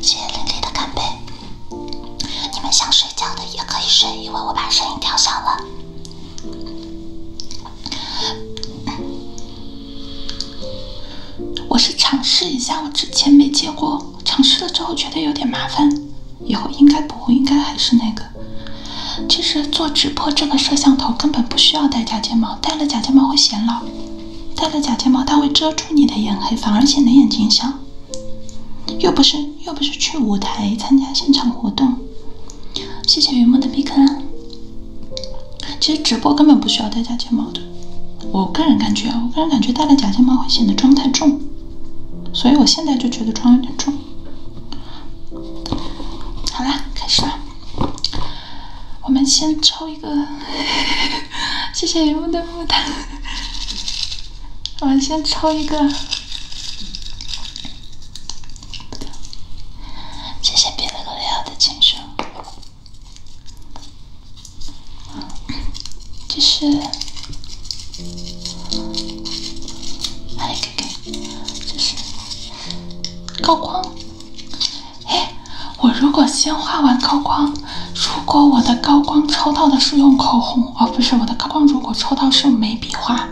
谢谢热烈的干杯！你们想睡觉的也可以睡，因为我把声音调小了。我是尝试一下我之前没接过，尝试了之后觉得有点麻烦，以后应该不，会，应该还是那个。其实做直播这个摄像头根本不需要戴假睫毛，戴了假睫毛会显老。戴了假睫毛，它会遮住你的眼黑，反而显得眼睛小。又不是又不是去舞台参加现场活动。谢谢云梦的避坑。其实直播根本不需要戴假睫毛的。我个人感觉，我个人感觉戴了假睫毛会显得妆太重，所以我现在就觉得妆有点重。好啦，开始吧。我们先抽一个，谢谢云木的木炭。我们先抽一个，谢谢别了哥的青书。啊，这是，哎，可以，这是高光。哎，我如果先画完高光，如果我的高光抽到的是用口红，哦不是，我的高光如果抽到是用眉笔画，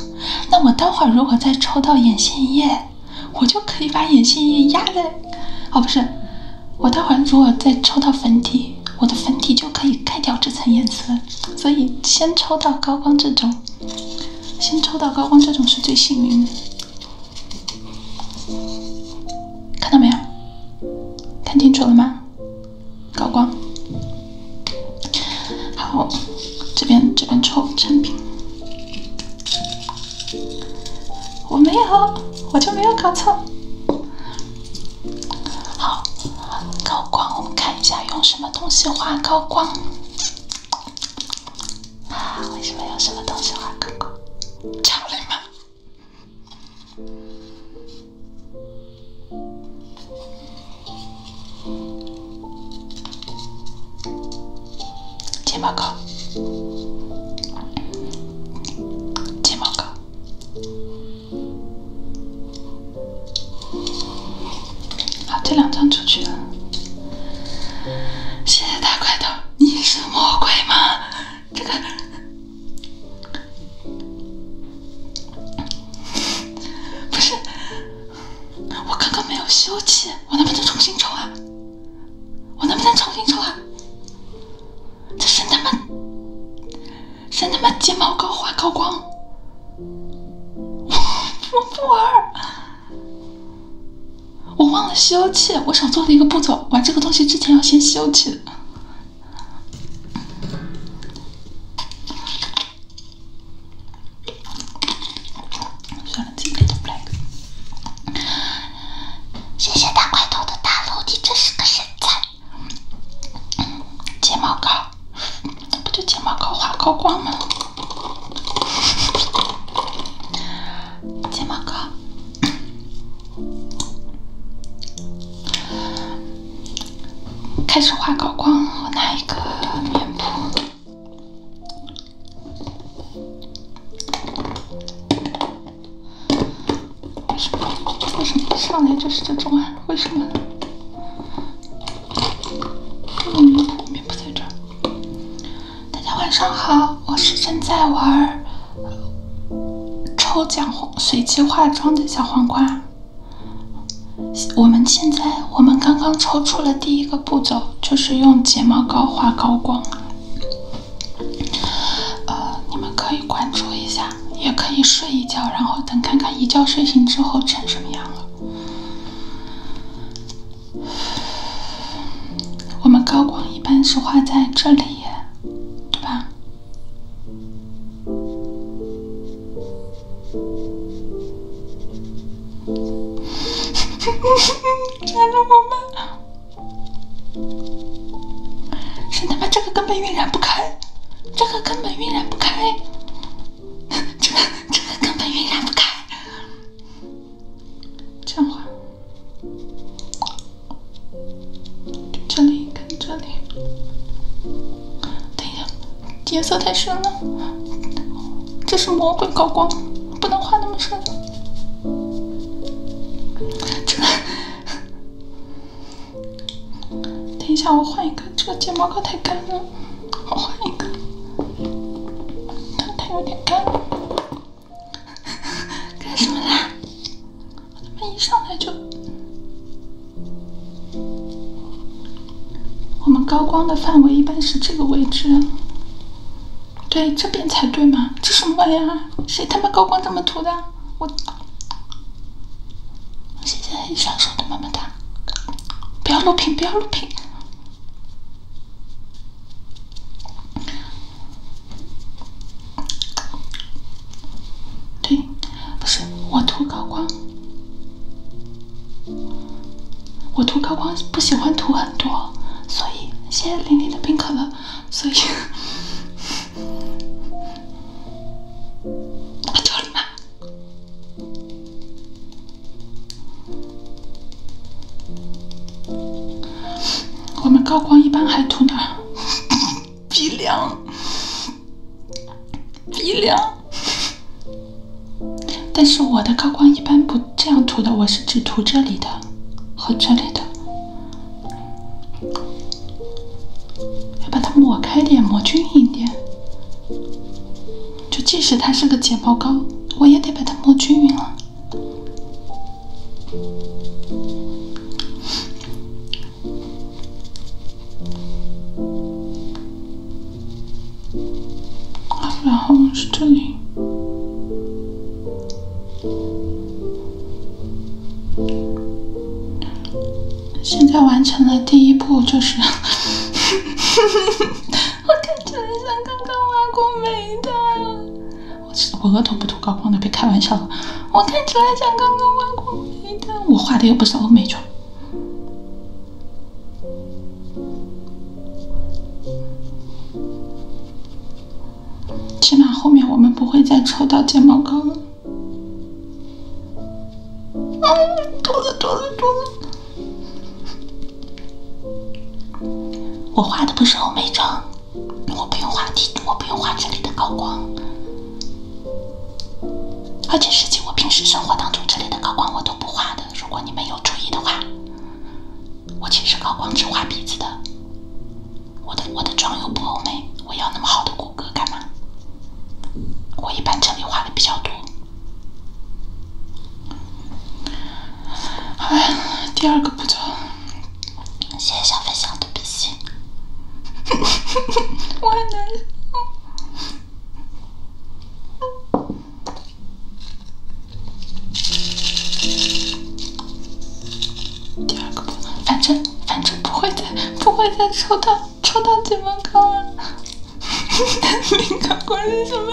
那我待会儿如果再抽到眼线液，我就可以把眼线液压在，哦不是，我待会儿如果再抽到粉底，我的粉底就可以盖掉这层颜色。所以先抽到高光这种，先抽到高光这种是最幸运的。看到没有？看清楚了吗？高光。好，这边这边抽产品。我没有，我就没有搞错。好，高光，我们看一下用什么东西画高光。啊！为什么有什么东西画过过？强力吗？睫毛膏，睫毛膏。好，这两张出去了。谢谢大块头。你是魔鬼吗？这个不是，我刚刚没有休气，我能不能重新抽啊？我能不能重新抽啊？这神他妈，神他妈睫毛膏画高光，我不玩儿。我忘了吸油气，我少做了一个步骤。玩这个东西之前要先吸油气谢谢大块头的大楼，你真是个神菜。睫毛膏，那不就睫毛膏画高光吗？睫毛膏，开始画高光。我拿一个棉扑。为什么？为什么一上来就是这种啊？为什么？我的面扑扑在这儿。大家晚上好，我是正在玩抽奖随机化妆的小黄瓜。我们现在我们刚刚抽出了第一个步骤，就是用睫毛膏画高光。呃，你们可以关注一下，也可以睡一觉，然后等看看一觉睡醒之后成什么样了。我们高光一般是画在这里，对吧？我们是他妈这个根本晕染不开，这个根本晕染不开，这个这个根本晕染不开，这样画。这里跟这里，等一下，颜色太深了，这是魔鬼高光，不能画那么深。这，等一下我换一个，这个睫毛膏太干了，我换一个，它太有点干。干 什么啦？我他妈一上来就……我们高光的范围一般是这个位置，对，这边才对嘛？这什么玩意儿？谁他妈高光这么涂的？我我现在很手的，么么哒！不要录屏，不要录屏！对，不是我涂高光，我涂高光不喜欢涂很多，所以谢谢玲玲的冰可乐，所以，我 走了。我们高光一般还涂哪儿？鼻梁，鼻梁。但是我的高光一般不这样涂的，我是只涂这里的和这里的。要把它抹开点，抹均匀点。就即使它是个睫毛膏，我也得把它抹均匀了。然后是这里。现在完成了第一步，就是，我感觉像刚刚挖过煤的。我我额头不涂高光的，别开玩笑了。我看起来像刚刚挖过眉的，我画的又不是欧美妆。起码后面我们不会再抽到睫毛膏了。啊！了多了多了！我画的不是欧美妆。我不用画这，我不用画这里的高光。而且实际我平时生活当中，这里的高光我都不画的。如果你们有注意的话，我其实高光只画鼻子的。我的我的妆又不欧美，我要那么好的骨骼干嘛？我一般这里画的比较多。哎，第二个步骤。谢谢小飞象的比心，我很难受。第二个不，反正反正不会再，不会再抽到抽到门刚了。金 刚 关系什么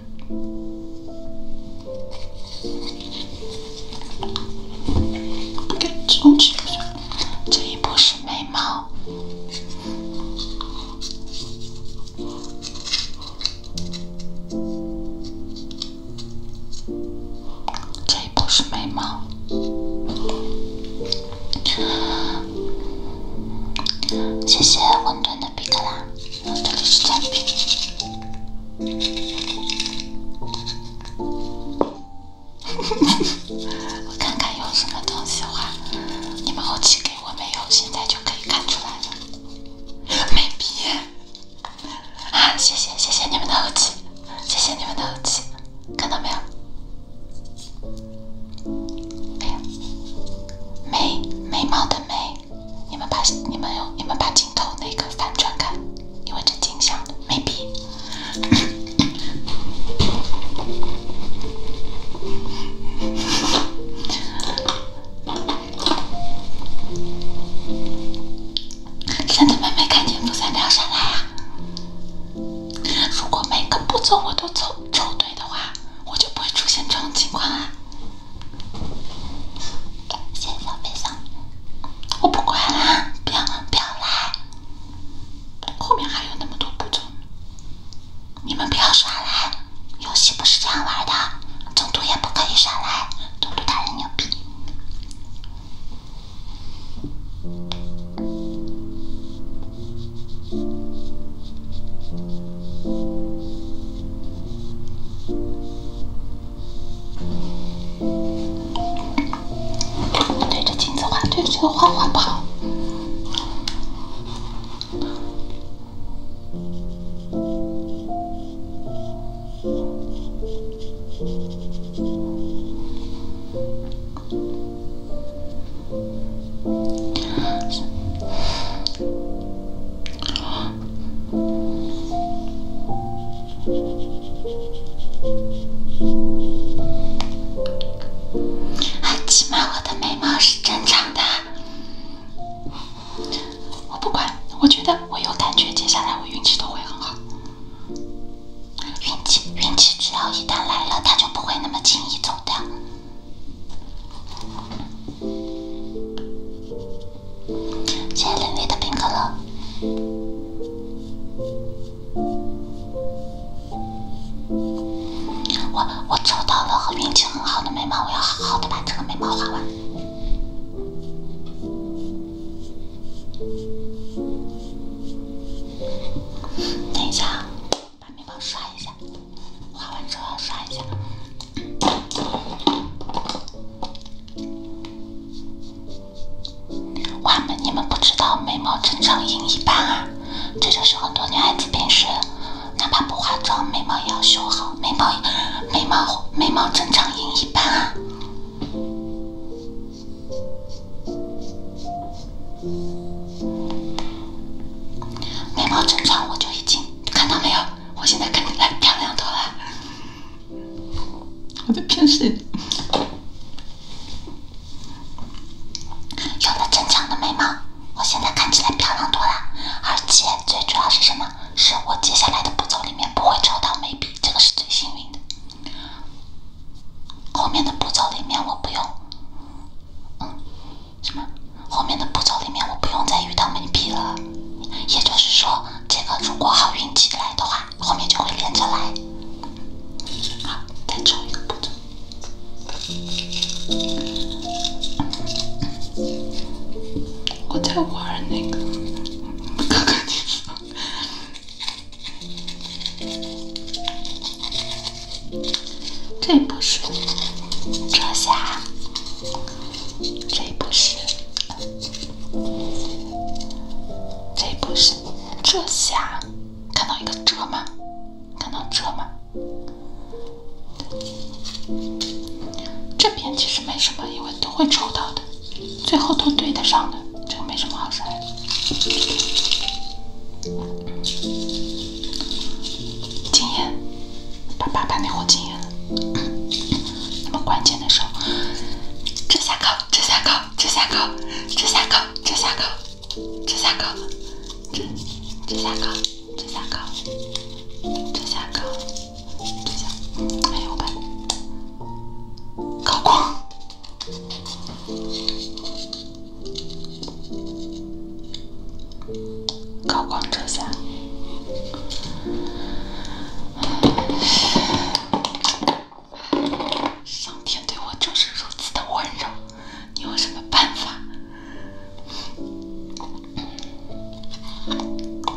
这一步是眉毛，这一步是眉毛。谢谢混沌的比克拉。这里是煎品。我看看有什么东西的话，你们后期给我没有，现在就可以看出来了。眉笔。啊，谢谢谢谢你们的后期，谢谢你们的后期，看到没有？哎呀，眉眉毛的眉。你们把你们有你们把镜头那个反转看，因为这镜像的没比。真的没没看见傅三聊上来啊？如果每个步骤我都凑凑对的话，我就不会出现这种情况啊。先上，先上！我不管啦，不要，不要来！后面还有那么多步骤，你们不要耍赖！游戏不是这样玩的，中毒也不可以耍赖，中毒大人呢？对着镜子画，对着这个画画不好。起码我的眉毛是正常的，我不管，我觉得我有感觉，接下来我运气都会很好。运气，运气只要一旦来了，它就不会那么轻易走掉。谢谢林薇的冰可乐。我我抽到了和运气很好的眉毛，我要好好的把这个眉毛画完。等一下，把眉毛刷一下，画完之后要刷一下。哇们，你们不知道眉毛正常赢一半啊！这就是很多女孩子平时哪怕不化妆，眉毛也要修好。眉毛眉毛眉毛正常赢一半啊！眉毛正常，我就已经看到没有，我现在肯定来漂亮多了。我在骗谁？有了正常的眉毛，我现在看起来漂亮多了。而且最主要是什么？是我接下来的步骤里面不会抽到眉笔，这个是最幸运的。后面的步骤里面我不用，嗯，什么？后面的步骤里面我不用再遇到眉笔了。也就是说，这个如果好运气来的话，后面就会连着来。好，再抽一个步骤。我在玩那个，这不是，这下，这不是。这不是遮瑕，看到一个遮吗？看到遮吗？这边其实没什么，因为都会抽到的，最后都对得上的，这个没什么好说的。禁言，爸爸把那货禁言。那么关键的时候，遮瑕膏，遮瑕膏，遮瑕膏，遮瑕膏，遮瑕膏，遮瑕膏，遮遮瑕膏，遮瑕膏，遮瑕膏，遮瑕。哎呦，我高光，高光遮瑕。上天对我就是如此的温柔，你有什么办法？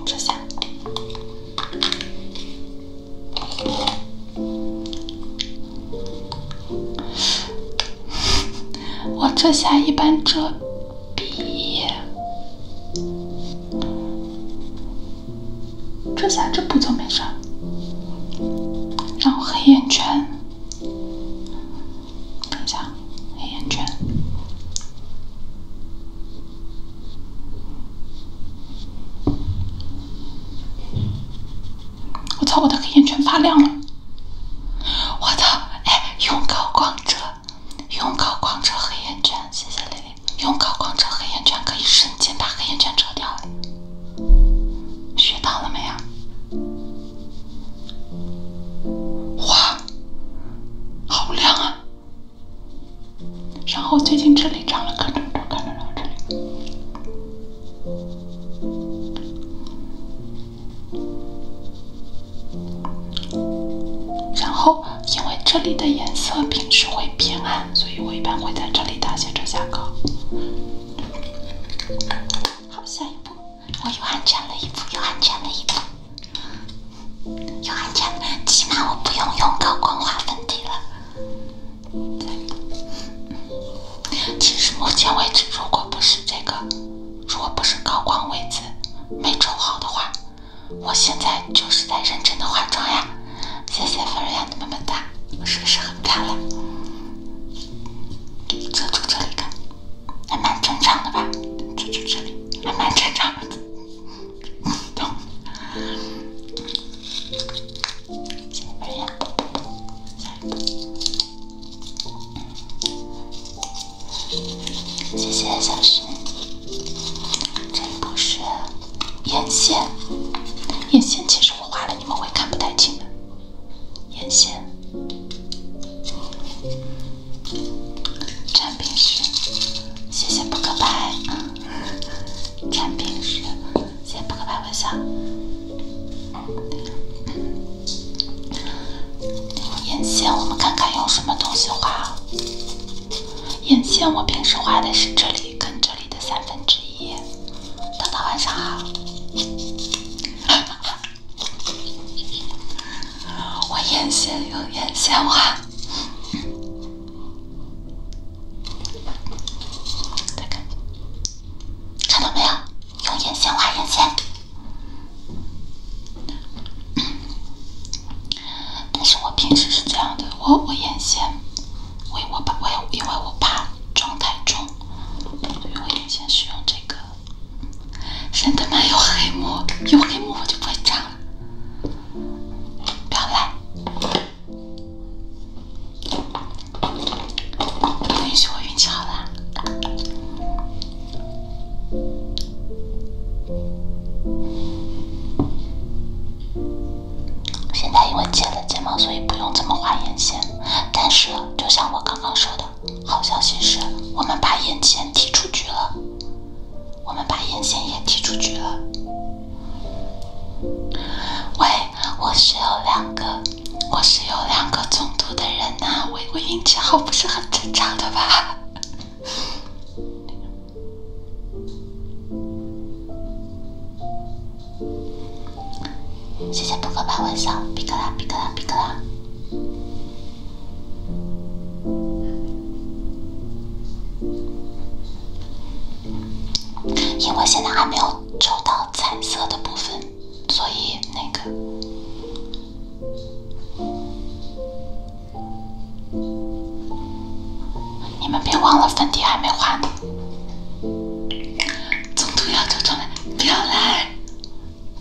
这下，我这下一般遮鼻。遮瑕这步骤没事儿，然后黑眼圈。等一下，黑眼圈。我操，我的黑眼圈发亮了！我操，哎，用高光遮。用高光遮黑眼圈，谢谢丽丽。用高光遮黑眼圈可以瞬间把黑眼圈遮掉。学到了没呀？哇，好亮啊！然后最近这里长了颗痘痘，看到了这里。然后。因为这里的颜色平时会偏暗，所以我一般会在这里打些遮瑕膏。好，下一步我又安全了一步，又安全了一步，又安全。起码我不用用高光画粉底了。其实目前为止，如果不是这个，如果不是高光位置没准好的话。我现在就是在认真的化妆呀，谢谢菲瑞亚的么么哒，我是不是很漂亮？遮住这里看，还蛮正常的吧？遮住这里，还蛮正常的。菲 谢谢小石。这不是眼线，眼线其实我画了，你们会看不太清的。眼线，产品是谢谢扑克牌，产品是谢谢扑克牌微笑。眼线，我们看看用什么东西画。眼线，我平时画的是这里跟这里的三分之一。大家晚上好。我眼线用眼线画。看到没有？用眼线画眼线。但是我平时是这样的，我我眼线，我我怕我因为因为我怕妆太重，所以我眼线是用这个。神的妈有黑幕，有黑幕我就不会这样了。不要赖，允许我运气好啦。现在因为剪了睫毛，所以不用怎么画眼线。但是，就像我刚刚说的，好消息是我们把眼线踢出局了，我们把眼线也踢出局了。喂，我是有两个，我是有两个中度的人呐，我我运气好不是很正常的吧？谢谢扑克牌微笑，比克拉，比克拉，比克拉。因为现在还没有抽到彩色的部分，所以那个。你们别忘了粉底还没画呢，中途要走重来，不要来，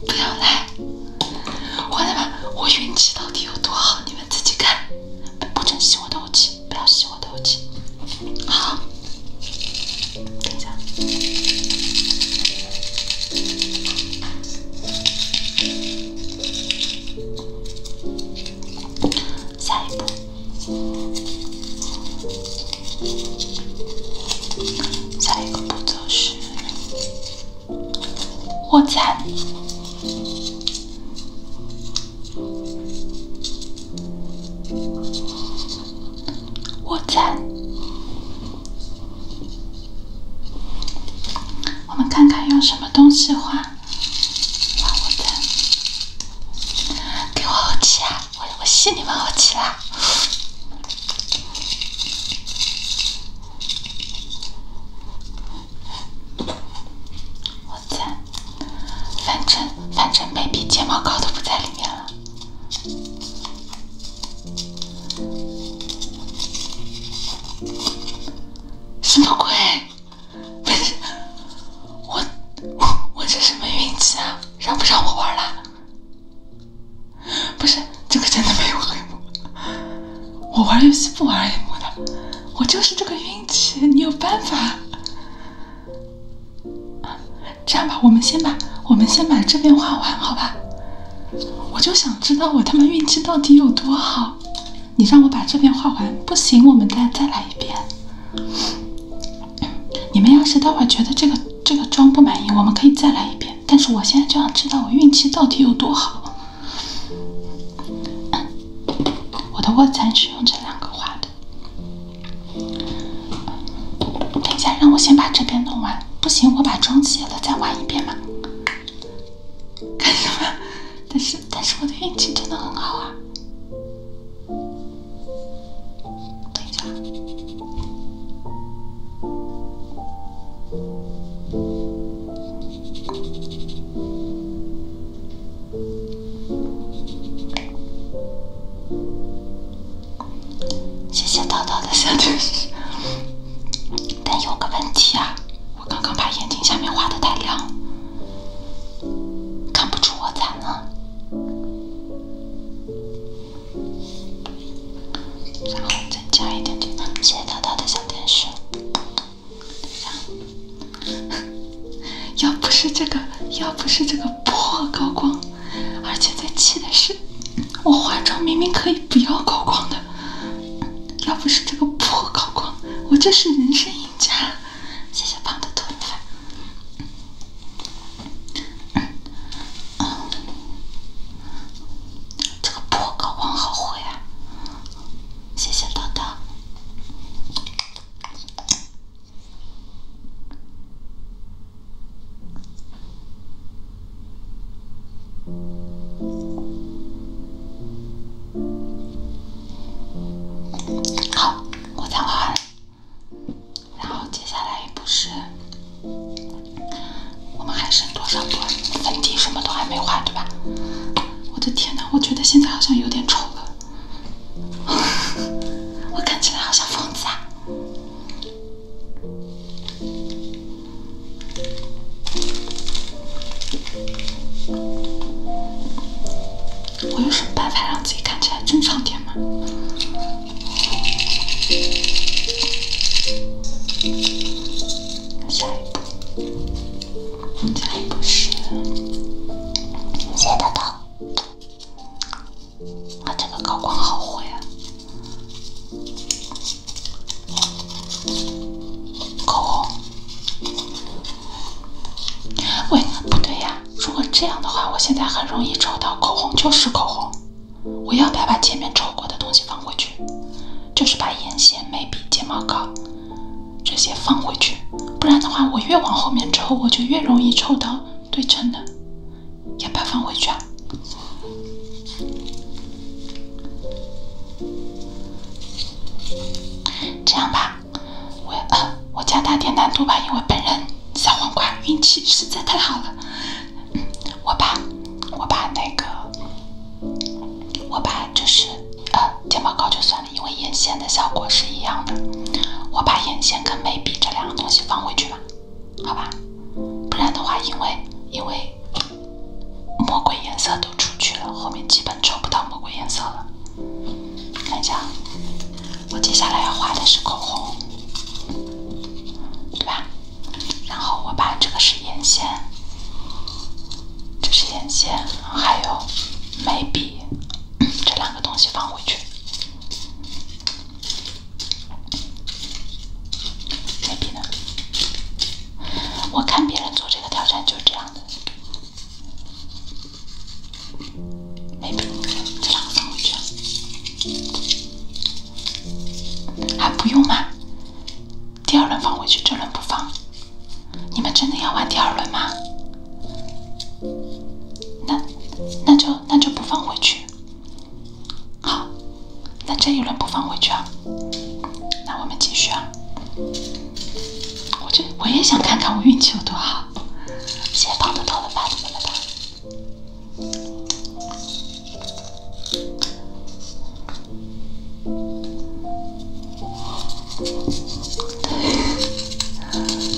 不要来！我来吧，我运气到底有多好？你们自己看。不准吸我的运气，不要吸我的运气。好，等一下。下一步，下一个步骤是卧蚕，卧蚕。我们看看用什么东西画。我的，给我好奇啊！我我信你们好奇啦！我擦，反正反正每笔睫毛膏都不在里面了，什么鬼？不 是我我我这什么运气啊？让不让我玩了？不是这个真的没有黑幕，我玩游戏不玩黑幕的，我就是这个运气。你有办法？这样吧，我们先把我们先把这边画完，好吧？我就想知道我他妈运气到底有多好。你让我把这边画完不行，我们再再来一遍。你们要是待会觉得这个这个妆不满意，我们可以再来一遍。但是我现在就想知道我运气到底有多好。我的卧蚕是用这两个画的。等一下，让我先把这边弄完。不行，我把妆卸了再玩一遍嘛。干什么？但是，但是我的运气真的很好啊！等一下。谢谢叨叨的小天使。但有个问题啊，我刚刚把眼睛下面画的太亮。看不出我惨啊！然后再加一点点斜斜的小天使。要不是这个，要不是这个破高光，而且最气的是，我化妆明明可以不要高光的，要不是这个破高光，我这是人生赢家。谢谢胖的兔兔，这个破稿忘好回啊！谢谢叨叨。好，我再画。然后接下来一是，我们还剩多少步？粉底什么都还没画，对吧？我的天哪，我觉得现在好像有点丑了，我看起来好像疯子啊！我有什么办法让自己看起来正常点吗？下一步，下一步是，谢谢豆豆，啊，这个高光好火呀！口红，喂，不对呀！如果这样的话，我现在很容易抽到口红就是口红。我要不要把前面抽过的东西放回去？就是把眼线、眉笔、睫毛膏这些放回去，不然的话，我越往后面抽，我就越容易抽到对称的。要不要放回去啊？这样吧。我呃，我加大点难度吧，因为本人小黄瓜运气实在太好了。我把，我把那个，我把就是呃睫毛膏就算了，因为眼线的效果是一样的。我把眼线跟眉笔这两个东西放回去吧，好吧？不然的话，因为因为魔鬼颜色。都出去了，后面基本抽不到魔鬼颜色了。看一下，我接下来要画的是口红，对吧？然后我把这个是眼线，这是眼线，还有眉笔，这两个东西放回去。眉笔呢？我看别人做这个挑战就是这样的。没用，这两放回去，还不用吗？第二轮放回去，这轮不放。你们真的要玩第二轮吗？那，那就那就不放回去。好，那这一轮不放回去啊。那我们继续啊。我就我也想看看我运气有多好，姐帮的到了吗，豆豆？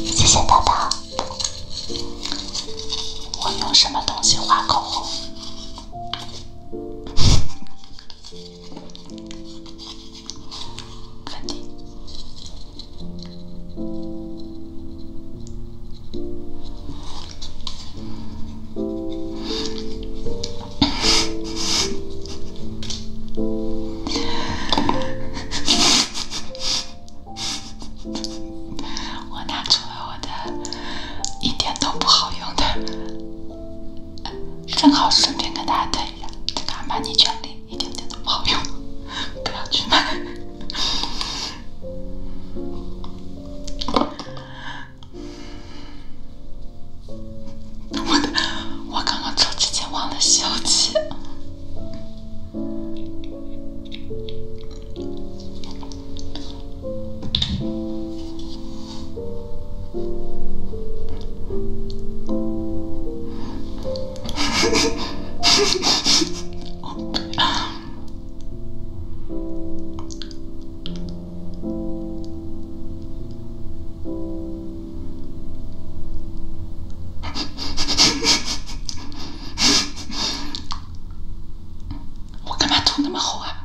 谢谢豆豆。我用什么东西画口红？我拿出了我的一点都不好用的，正好顺便跟大家这敢卖你？全力，一点点都不好用，不要去买。我的，我刚刚抽之前忘了消气。我干嘛吐那么厚啊？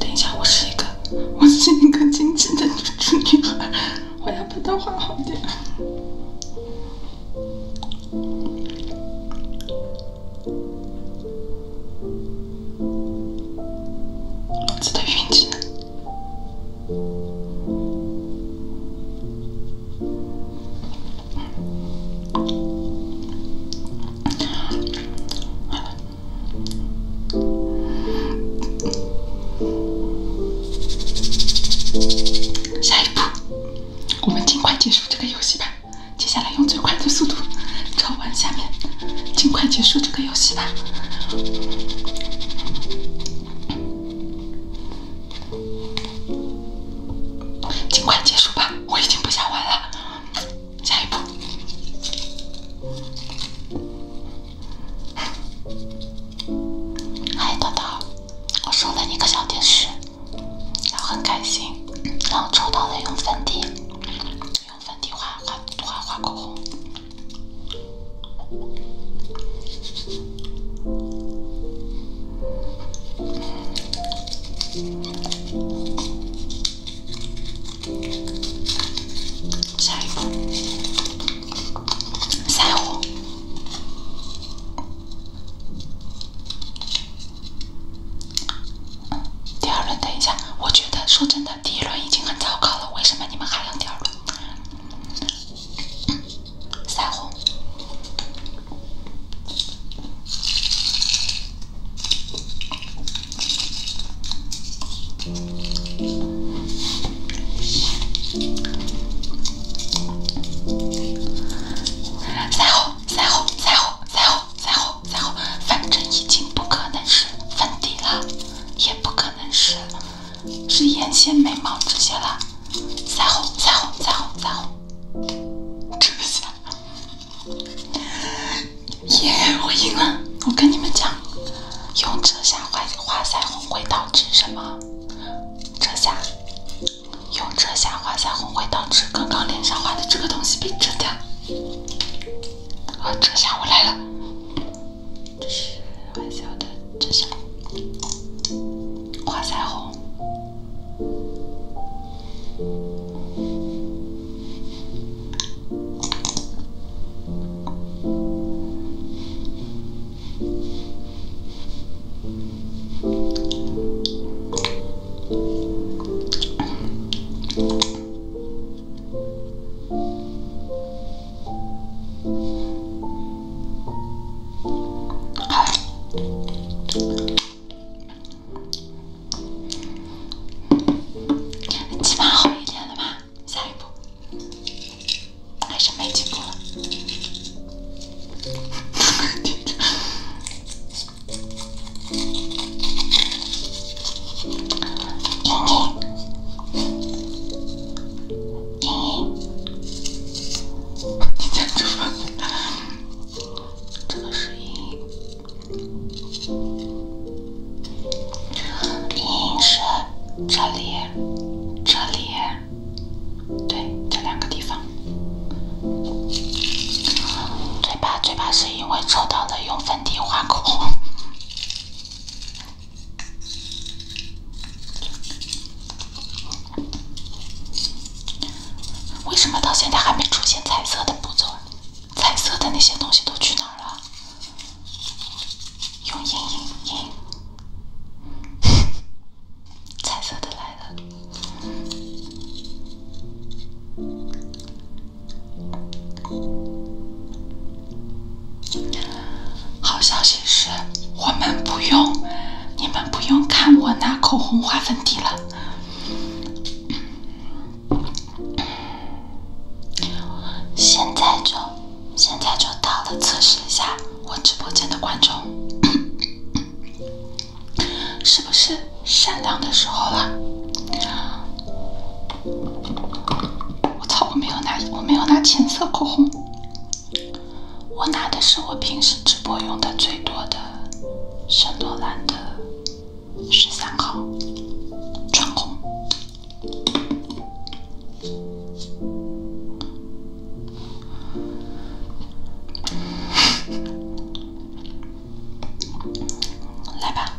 等一下，我是一个，我是一个精致的女主女孩，我要把它画好点。我的运气呢？下一步，我们尽快结束这个游戏吧。接下来用最快的速度找。玩下面，尽快结束这个游戏吧，尽快结束吧，我已经不想玩了。下一步，嗨，豆豆，我送了你一个小提示，然后很开心，然后抽到了一个粉底。用粉底画画画画口红，下一步。腮红。第二轮，等一下，我觉得，说真的。第一轮已经很糟糕了，为什么你们还腮点？腮红，腮红，腮红，腮红，腮红。腮红，反正已经不可能是粉底了，也不可能是是眼线、眉毛这些了。腮红、腮红、腮红、腮红，遮瑕。耶，我赢了！我跟你们讲，用遮瑕画画腮红会导致什么？遮瑕，用遮瑕画腮红会导致刚刚脸上画的这个东西被遮掉。啊，这下我来了，这是微笑的，这下画彩虹。起码好一点了吧？下一步还是没进步 嘤嘤，嘤嘤，你站住！这个声音，嘤是这里，这里，对，这两个地方。嘴巴，嘴巴是因为抽到了用粉底画口红。为什么到现在还没出现彩色的步骤？彩色的那些东西都去哪儿了？用阴影，阴 彩色的来了。好消息是，我们不用，你们不用看我拿口红画粉底了。现在就，现在就到了测试一下我直播间的观众，是不是善良的时候了？我操！我没有拿，我没有拿浅色口红，我拿的是我平时直播用的最多的圣罗兰的十三号唇红，来吧。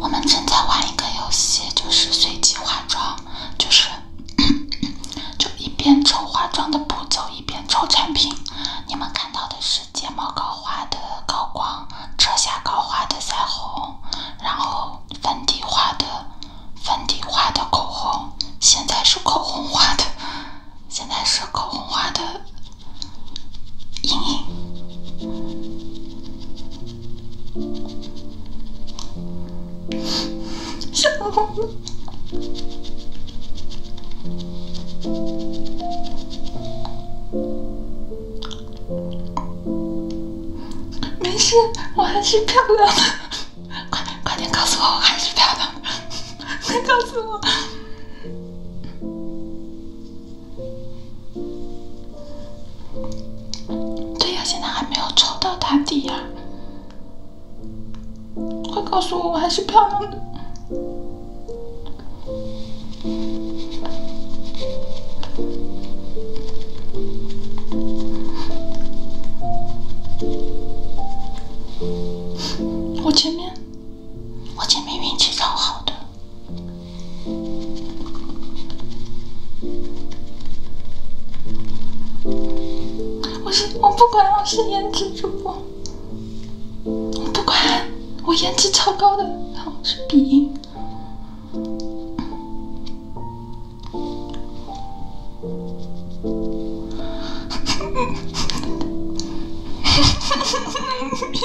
我们正在玩一个游戏，就是随机化妆，就是 就一边抽化妆的步骤，一边抽产品。你们看到的是睫毛膏画的、高光、遮瑕膏画的腮红，然后粉底画的、粉底画的口红，现在是口红画的，现在是口红画的。莹莹，丑吗？没事，我还是漂亮的。快快点告诉我，我还是漂亮的。快告诉我。对呀，现在还没有抽到打底呀！快告诉我，我还是漂亮的。我前面。我前面运气超好的，我是我不管我是颜值主播，我不管我颜值超高的，我是鼻音。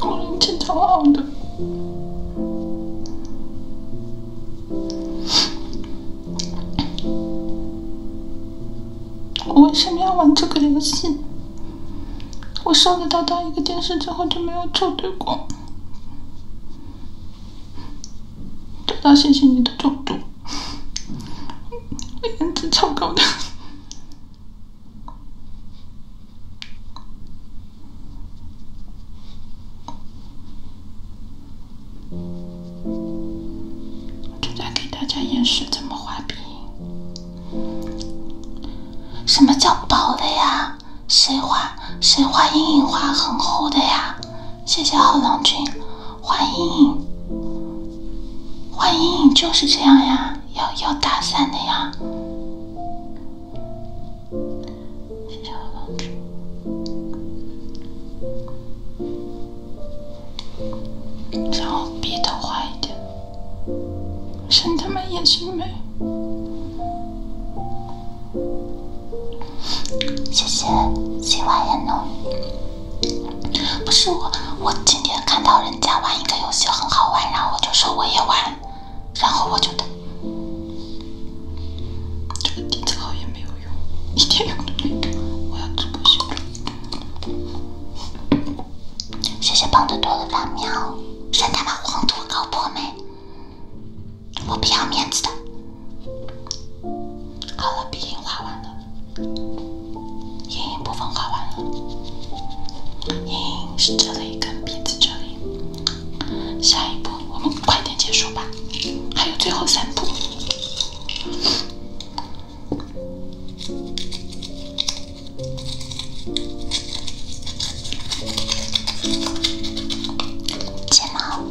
我颜值超好的，我为什么要玩这个游戏？我收得到当一个电视之后就没有撤对过。早到谢谢你的中毒，颜值超高的。正在给大家演示怎么画笔。什么叫薄的呀？谁画？谁画阴影画很厚的呀？谢谢浩郎君，画阴影。画阴影就是这样呀。要要打伞的呀，谢谢我然后笔头画一点，神他妈眼睛美。谢谢，喜欢也弄。不是我，我今天看到人家玩一个游戏很好玩，然后我就说我也玩。然后我就等，这个子也没有用，一点用都没有。我要直播谢谢棒多的黄土没？我不要面子的。好了，鼻影画完了，影部分画完了，影是这里。一根鼻子这里，下一步我们快点结束吧，还有最后三步，睫毛。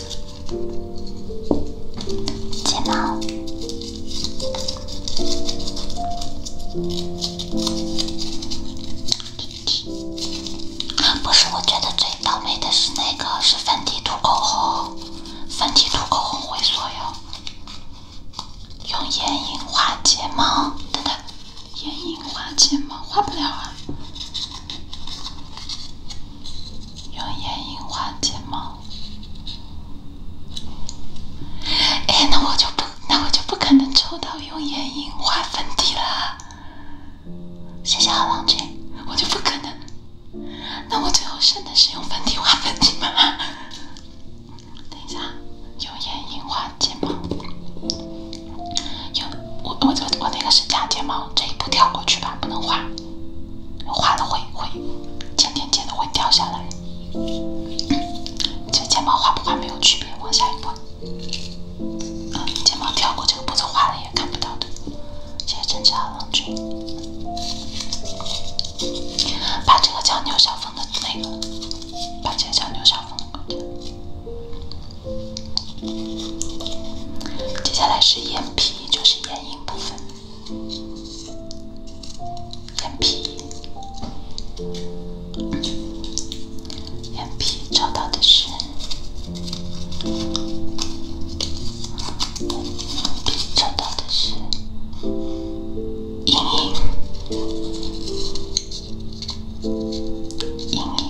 睫毛。不是，我觉得最倒霉的是那个，是粉底涂口红，粉底涂口红会所有用眼影画睫毛，等等，眼影画睫毛画不了啊。用眼影画睫毛。哎，那我就不，那我就不可能抽到用眼影画粉底了。谢谢老君，我就不可能。那我最后剩的是用粉底画粉底吗？等一下，用眼影画睫毛。有我我我那个是假睫毛，这一步跳过去吧，不能画，画了会会，尖尖尖的会掉下来。这睫毛画不画没有区别，往下一步，睫毛跳过这个步骤画了也看不到的。谢谢真假郎君，把这个叫牛小峰的那个，把这个叫牛小峰的搞掉。接下来是眼皮，就是眼影部分。眼皮，眼皮找到的是，眼皮找到的是阴影，阴影。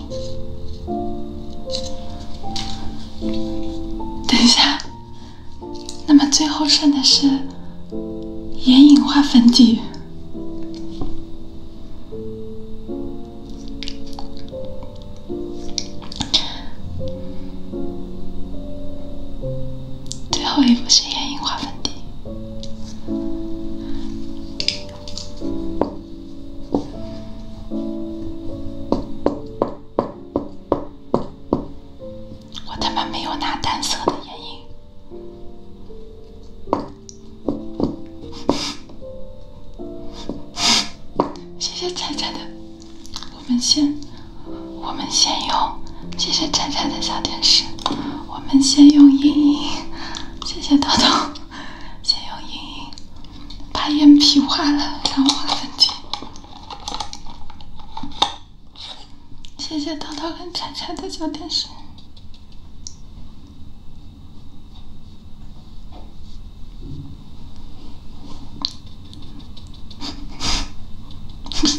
等一下，那么最后剩的是眼影画粉底，最后一步是眼影画粉底。我他妈没有拿单色的眼影。谢谢彩彩的，我们先我们先用。谢谢彩彩的小天使，我们先用阴影。谢谢豆豆，先用阴影。把眼皮画了，然后画粉底。谢谢涛涛跟柴柴的小天使。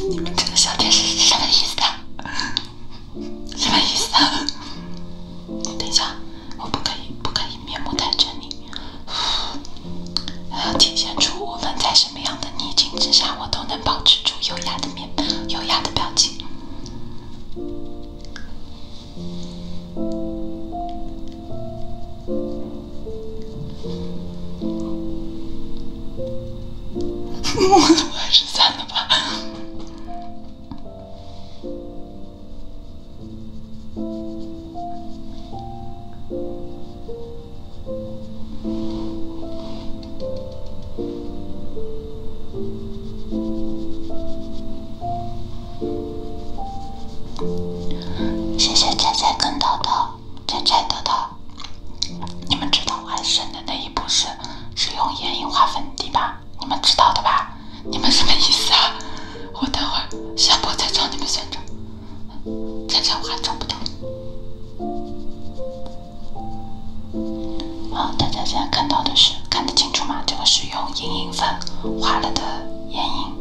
你们这个小天使是什么意思的？什么意思？等一下，我不可以，不可以面目坦诚你，还要体现出无论在什么样的逆境之下，我都能保持住优雅的面，优雅的表情。我还是算了吧。谢谢菜菜跟豆豆，菜菜豆豆。你们知道我省的那一步是使用眼影画粉底吧？你们知道的吧？你们什么意思啊？我等会儿下播再找你们算账。再找我还找不到。好，大家现在看到的是看得清楚吗？这个是用眼影粉画了的眼影。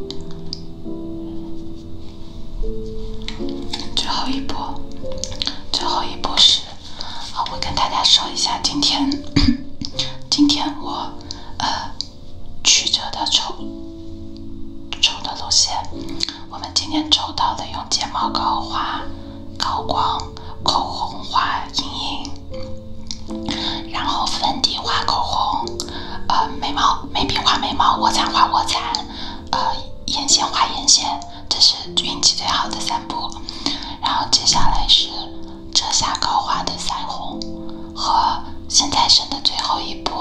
最后一步，最后一步是，啊，我跟大家说一下，今天，今天我，呃。曲折的抽抽的路线，我们今天抽到了用睫毛膏画高光，口红画阴影，然后粉底画口红，呃眉毛眉笔画眉毛卧蚕画卧蚕，呃眼线画眼线，这是运气最好的三步，然后接下来是。遮瑕膏画的腮红，和现在剩的最后一步，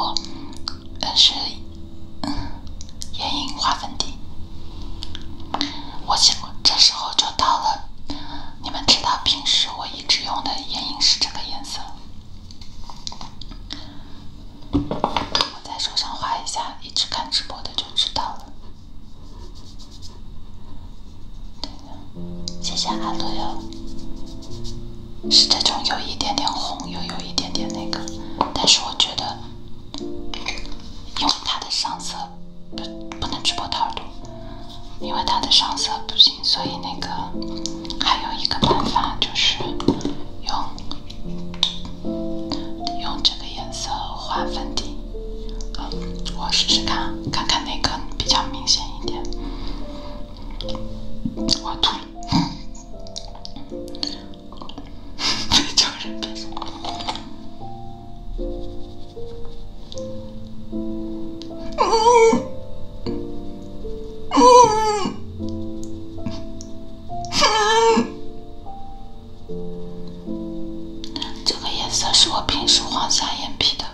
嗯是，嗯，眼影画粉底。我想这时候就到了，你们知道平时我一直用的眼影是这个颜色。我在手上画一下，一直看直播的就知道了。谢谢阿乐。是这种有一点点红，又有一点点那个，但是我觉得，因为它的上色不不能直播太多，因为它的上色不行，所以那个还有一个办法就是用用这个颜色画粉底。我试试看，看看哪个比较明显一点。我吐了，真是别死！啊这个颜色是我平时画下眼皮的。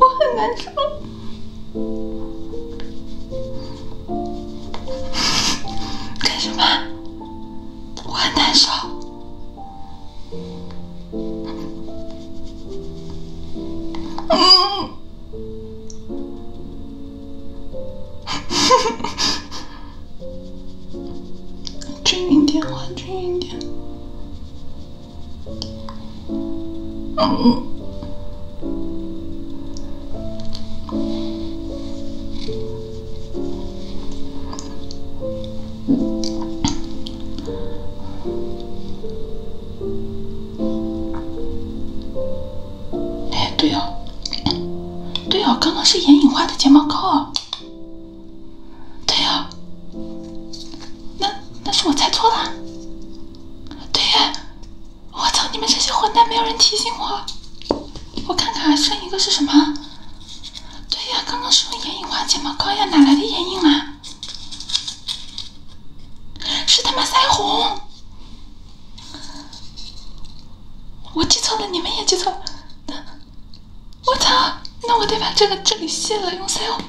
我很难受，干什么？我很难受。嗯。均匀点，换均匀点。嗯。哎，对哦，对哦，刚刚是眼影画的睫毛膏对呀，那那是我猜错了，对呀，我操，你们这些混蛋，没有人提醒我，我看看剩一个是什么？对呀，刚刚是用眼影画睫毛膏呀，哪来的眼影啊？是他妈腮红。我记错了，你们也记错了。我操！那我得把这个这里卸了，用腮红。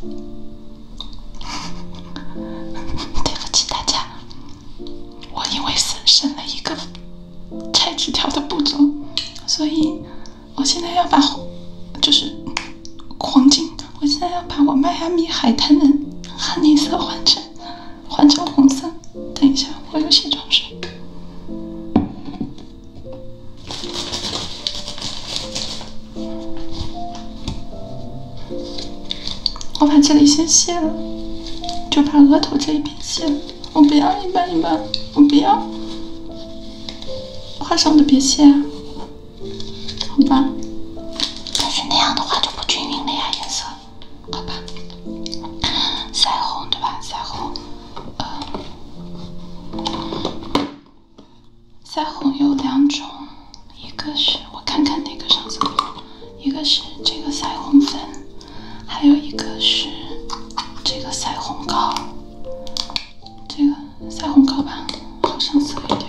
对不起大家，我因为省省了一个拆纸条的步骤，所以我现在要把就是黄金，我现在要把我迈阿密海滩的哈尼色换成。换成红色。等一下，我有卸妆水。我把这里先卸了，就把额头这一边卸了。我不要一半一半，我不要。画上的别卸啊，好吧。但是那样的话就不均匀了呀，颜色。好吧，腮红对吧？腮红，呃，腮红有两种，一个是我看看哪个上色，一个是这个腮红粉，还有一个是这个腮红膏，这个腮红膏吧，好上色一点。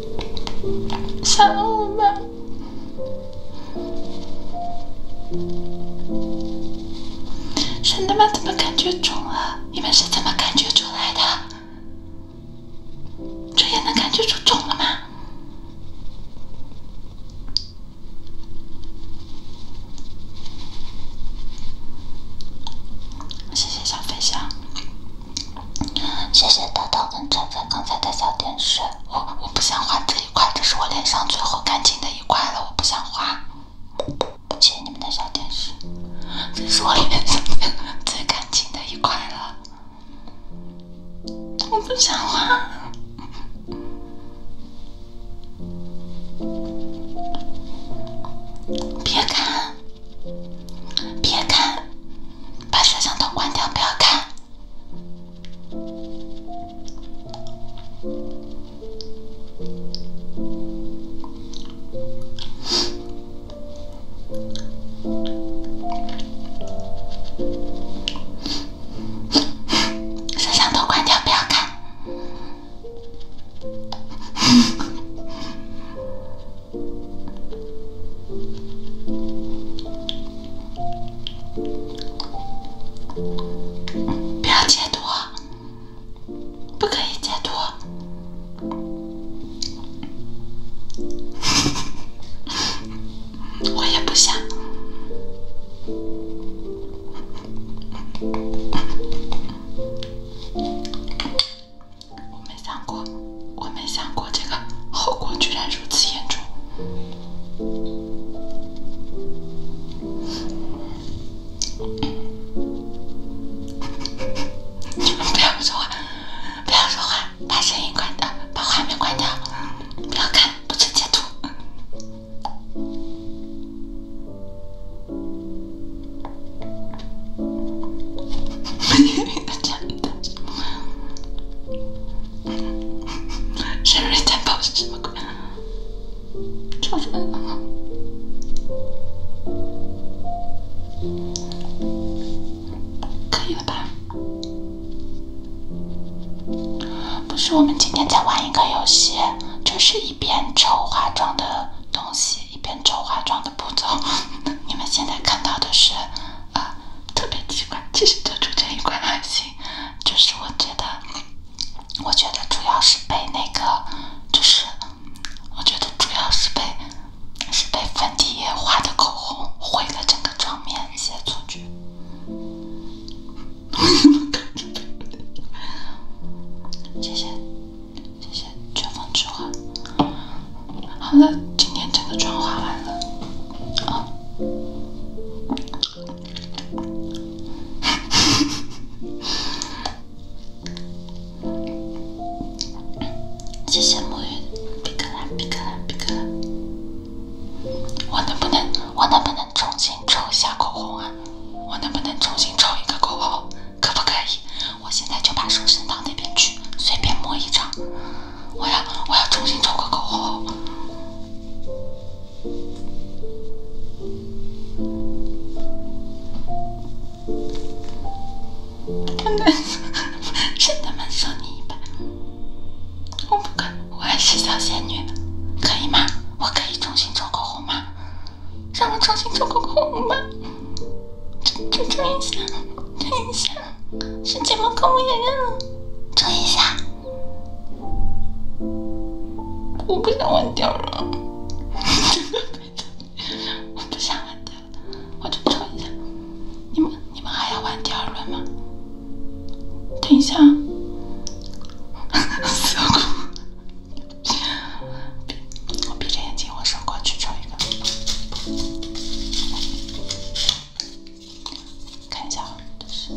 想我吧！真的吗？怎么感觉肿了？你们是怎么感觉出来的？这也能感觉出肿了吗？谢谢小飞象。谢谢豆豆跟晨晨刚才的小点水，我我不想画这一块，这是我脸上最后干净的一块了，我不想画。谢谢你们的小点水，这是我脸上最干净的一块了，我不想画，别看。别看，把摄像头关掉，不要看。摄像头关掉，不要看。不要截图，不可以截图，我也不想。我没想过，我没想过这个后果居然如此严重。你们不要说话，不要说话，把声音关掉，把画面关掉，不要看，不准截图。没用的，是我们今天在玩一个游戏，就是一边抽化妆的东西。一边做化妆的步骤，你们现在看到的是，呃，特别奇怪。其实就出这一块爱心，就是我觉得，我觉得主要是被那个，就是，我觉得主要是被，是被粉底液化的口红毁了整个妆面，谢谢。谢谢春风之花。好了，今天整个妆画完了。啊！谢谢沐浴。闭壳啦！闭壳啦！闭壳！我能不能，我能不能重新抽一下口红啊？我能不能重新抽一个口红？可不可以？我现在就把手伸到那边去，随便摸一张。我要，我要重新抽个口红。真的，是，真的没收你一百。我不敢，我还是小仙女，可以吗？我可以重新抽口红吗？让我重新抽口红吧。这这，抽一下，抽一下，是睫毛膏我也认了，抽一下，我不想玩第二轮。我不想忘掉了，我就抽一下。你们你们还要玩第二轮吗？等一下，死要哭，我闭着眼睛，我手过去抽一下。看一下，这是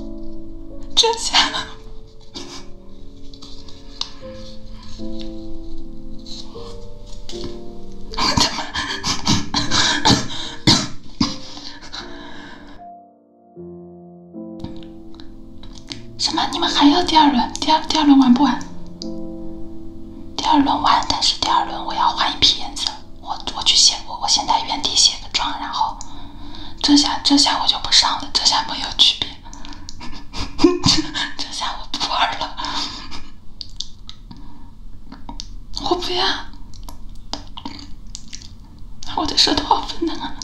这下，我的妈！什么？你们还要第二轮？第二第二轮玩不玩？第二轮完，但是第二轮我要换一批颜色。我我去卸我，我现在原地卸个妆，然后这下这下我就不上了，这下没有区别，这 这下我不玩了，我不要，我的舌头好笨能啊！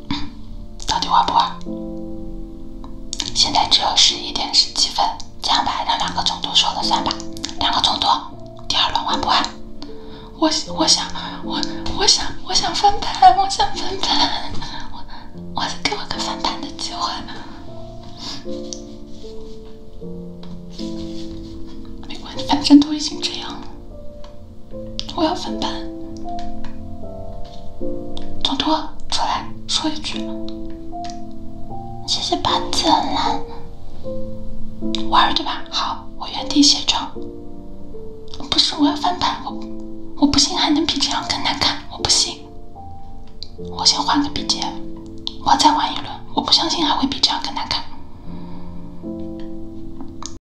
到底玩不玩？现在只有十一点十七分，这样吧，让两个总督说了算吧。两个总督，第二轮玩不玩？我我想我我想我想翻盘，我想翻盘，我我给我个翻盘的机会，没关系，反正都已经这样了。我要翻盘，总督，出来说一句，谢谢八字兰，玩儿对吧？好，我原地写照。不是，我要翻盘，我我不信还能比这样更难看，我不信。我先换个笔尖，我再玩一轮，我不相信还会比这样更难看。